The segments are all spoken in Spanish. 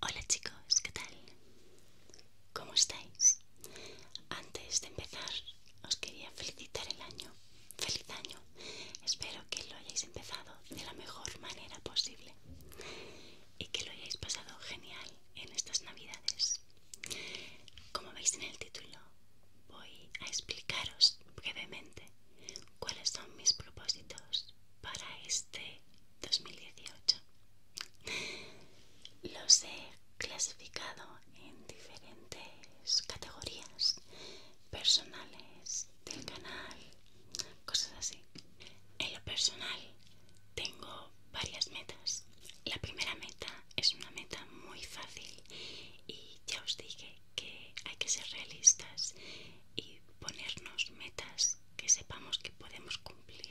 Hola chicos, ¿qué tal? ¿Cómo estáis? Antes de empezar, os quería felicitar el año. Feliz año. Espero que lo hayáis empezado de la mejor manera posible y que lo hayáis pasado genial en estas navidades como veis en el título, voy a explicaros brevemente cuáles son mis propósitos para este 2018. Los he clasificado en diferentes categorías personales del canal, cosas así. En lo personal tengo varias metas la primera meta es una meta muy fácil y ya os dije que hay que ser realistas y ponernos metas que sepamos que podemos cumplir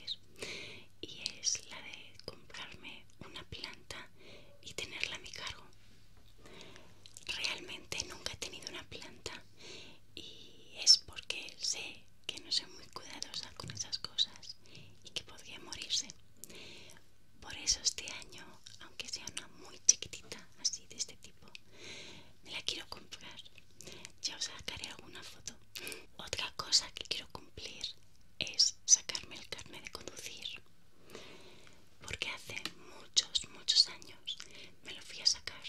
y es la de comprarme una planta y tenerla a mi cargo. Realmente nunca he tenido una planta y es porque sé que no soy muy cuidadosa con esas cosas y que podría morirse. Por eso este año, aunque sea una muy chiquitita, así de este tipo, me la quiero comprar. Ya os sacaré alguna foto. Otra cosa que quiero cumplir es sacarme el carnet de conducir. Porque hace muchos, muchos años me lo fui a sacar.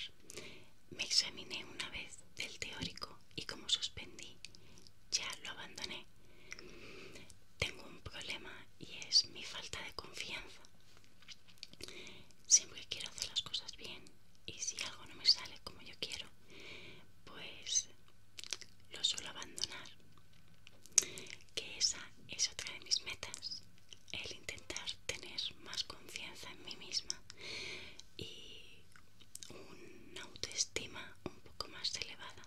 Me examiné una vez del teórico y como suspendí, ya lo abandoné. Tengo un problema y es mi falta de confianza. Siempre quiero hacer las cosas bien y si algo no me sale como yo quiero, pues lo suelo abandonar. Que esa es otra de mis metas, el intentar tener más confianza en mí misma y una autoestima un poco más elevada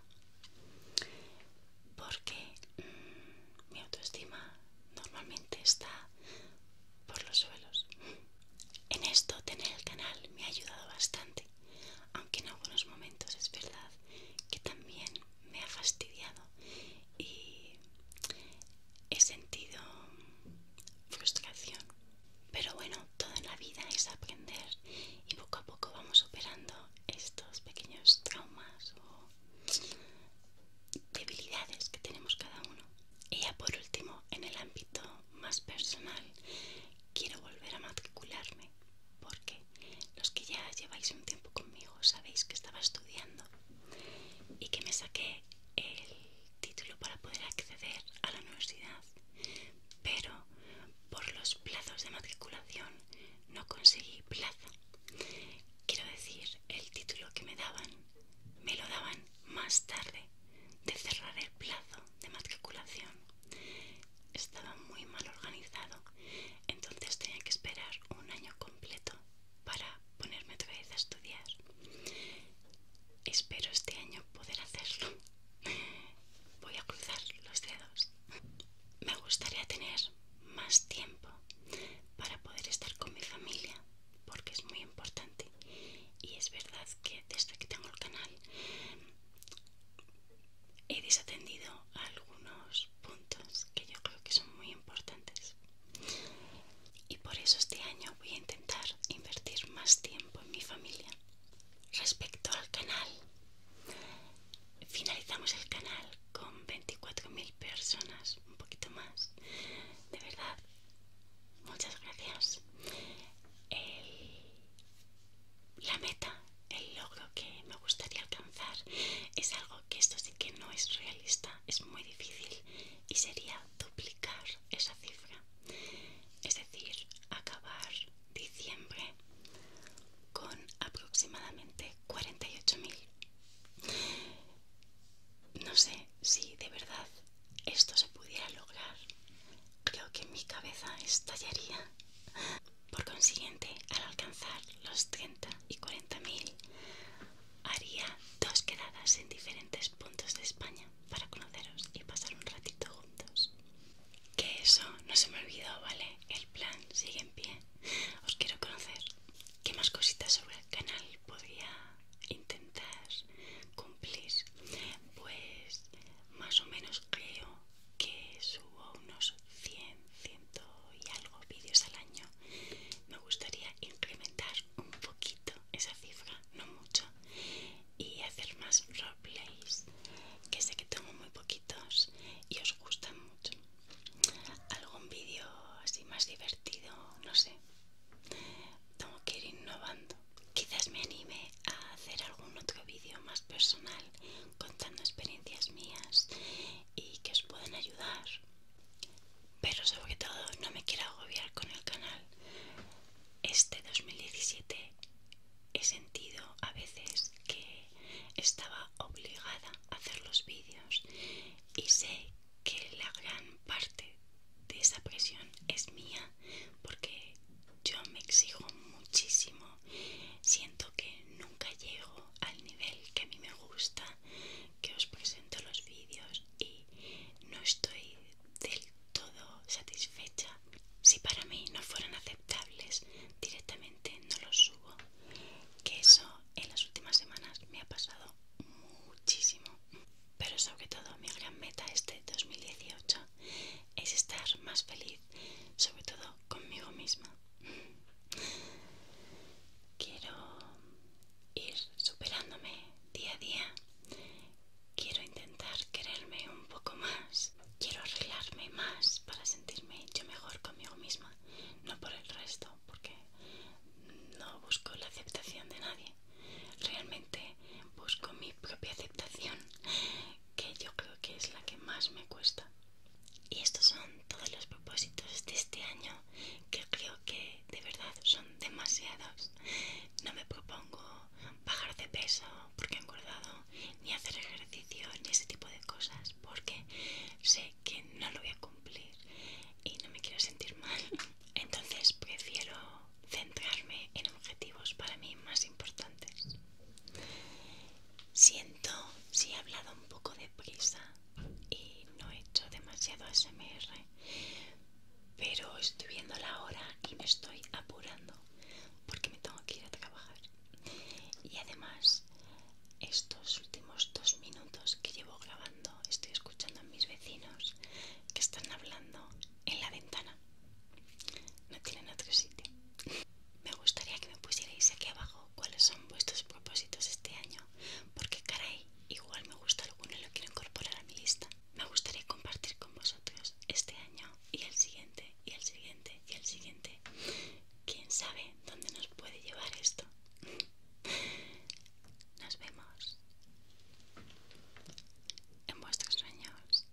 porque mm, mi autoestima normalmente está por los suelos en esto tener el canal me ha ayudado bastante aunque en algunos momentos es verdad que también me ha fastidiado y he sentido frustración pero bueno, todo en la vida es aprender y poco a poco vamos superando estos pequeños traumas o debilidades que tenemos cada uno. Y ya por último, en el ámbito más personal, quiero volver a matricularme porque los que ya lleváis un tiempo conmigo sabéis que estaba estudiando y que me saqué el título para poder acceder a la universidad, pero por los plazos de matriculación no conseguí plaza. Quiero decir, el título que me daban me lo daban más tarde de cerrar el plazo de matriculación. Estaba muy mal organizado, entonces tenía que esperar un año completo para ponerme otra vez a estudiar. Espero este año poder hacerlo. Voy a cruzar los dedos. Me gustaría tener más tiempo para poder estar con mi familia porque es muy importante. Y es verdad que desde que tengo el canal he desatendido algunos puntos que yo creo que son muy importantes y por eso este año voy a intentar invertir más tiempo en mi familia. Respecto al canal, finalizamos el canal con 24.000 personas, un poquito más. De verdad, muchas gracias. la meta, el logro que me gustaría alcanzar es algo que esto sí que no es realista, es muy difícil y sería duplicar esa cifra, es decir, acabar diciembre con aproximadamente 48.000. No sé si de verdad esto se pudiera lograr. Creo que mi cabeza estallaría. Por consiguiente, al alcanzar los 30 y 40.000, Haría dos quedadas en diferentes puntos de España para conoceros y pasar un ratito juntos. Que eso no se me olvidó, ¿vale? El plan sigue en pie. Os quiero conocer. ¿Qué más cositas sobre el canal podría intentar cumplir? Pues más o menos creo que subo unos 100, 100 y algo vídeos al año, me gustaría incrementar un poquito esa cifra, no mucho, y hacer más roleplays, que sé que tengo muy poquitos y os gustan mucho. Algún vídeo así más divertido, no sé. Tengo que ir innovando. Quizás me anime a hacer algún otro vídeo más personal contando experiencias mías y que os puedan ayudar pero sobre todo no me quiero agobiar con el canal. Este 2017 he sentido a veces que estaba obligada a hacer los vídeos y sé que la gran parte de esa presión es mía porque yo me exijo muchísimo siento que nunca llego al nivel que a mí me gusta que os presento los vídeos y no estoy del todo satisfecha. Si para mí no fueran aceptables, directamente no los subo. Que eso en las últimas semanas me ha pasado muchísimo. Pero sobre todo mi gran meta este 2018 es estar más feliz, sobre todo conmigo misma. Quiero ir superándome día a día. Quiero intentar quererme un poco más. Quiero arreglarme más para sentirme yo mejor conmigo misma. No por el resto, porque no busco la aceptación de nadie. Realmente busco mi propia aceptación, que yo creo que es la que más me cuesta. Y estos son todos los propósitos de este año que creo que de verdad son demasiados. No me propongo bajar de peso porque he engordado, ni hacer ejercicio, ni ese tipo de cosas, porque sé que no lo voy a cumplir y no me quiero sentir mal. Entonces prefiero centrarme en objetivos para mí más importantes. Siento si he hablado un poco deprisa y no he hecho demasiado SMR, pero estoy viendo la hora y me estoy apurando porque me tengo que ir a trabajar. Y además, estos últimos dos minutos que llevo grabando, estoy escuchando a mis vecinos que están hablando en la ventana. No tienen otro sitio. Me gustaría que me pusierais aquí abajo cuáles son vuestros propósitos este año, porque caray, igual me gusta alguno y lo quiero incorporar a mi lista. Me gustaría compartir con vosotros este año y el siguiente, y el siguiente, y el siguiente. ¿Quién sabe dónde nos puede llevar esto? Nos vemos en vuestros sueños.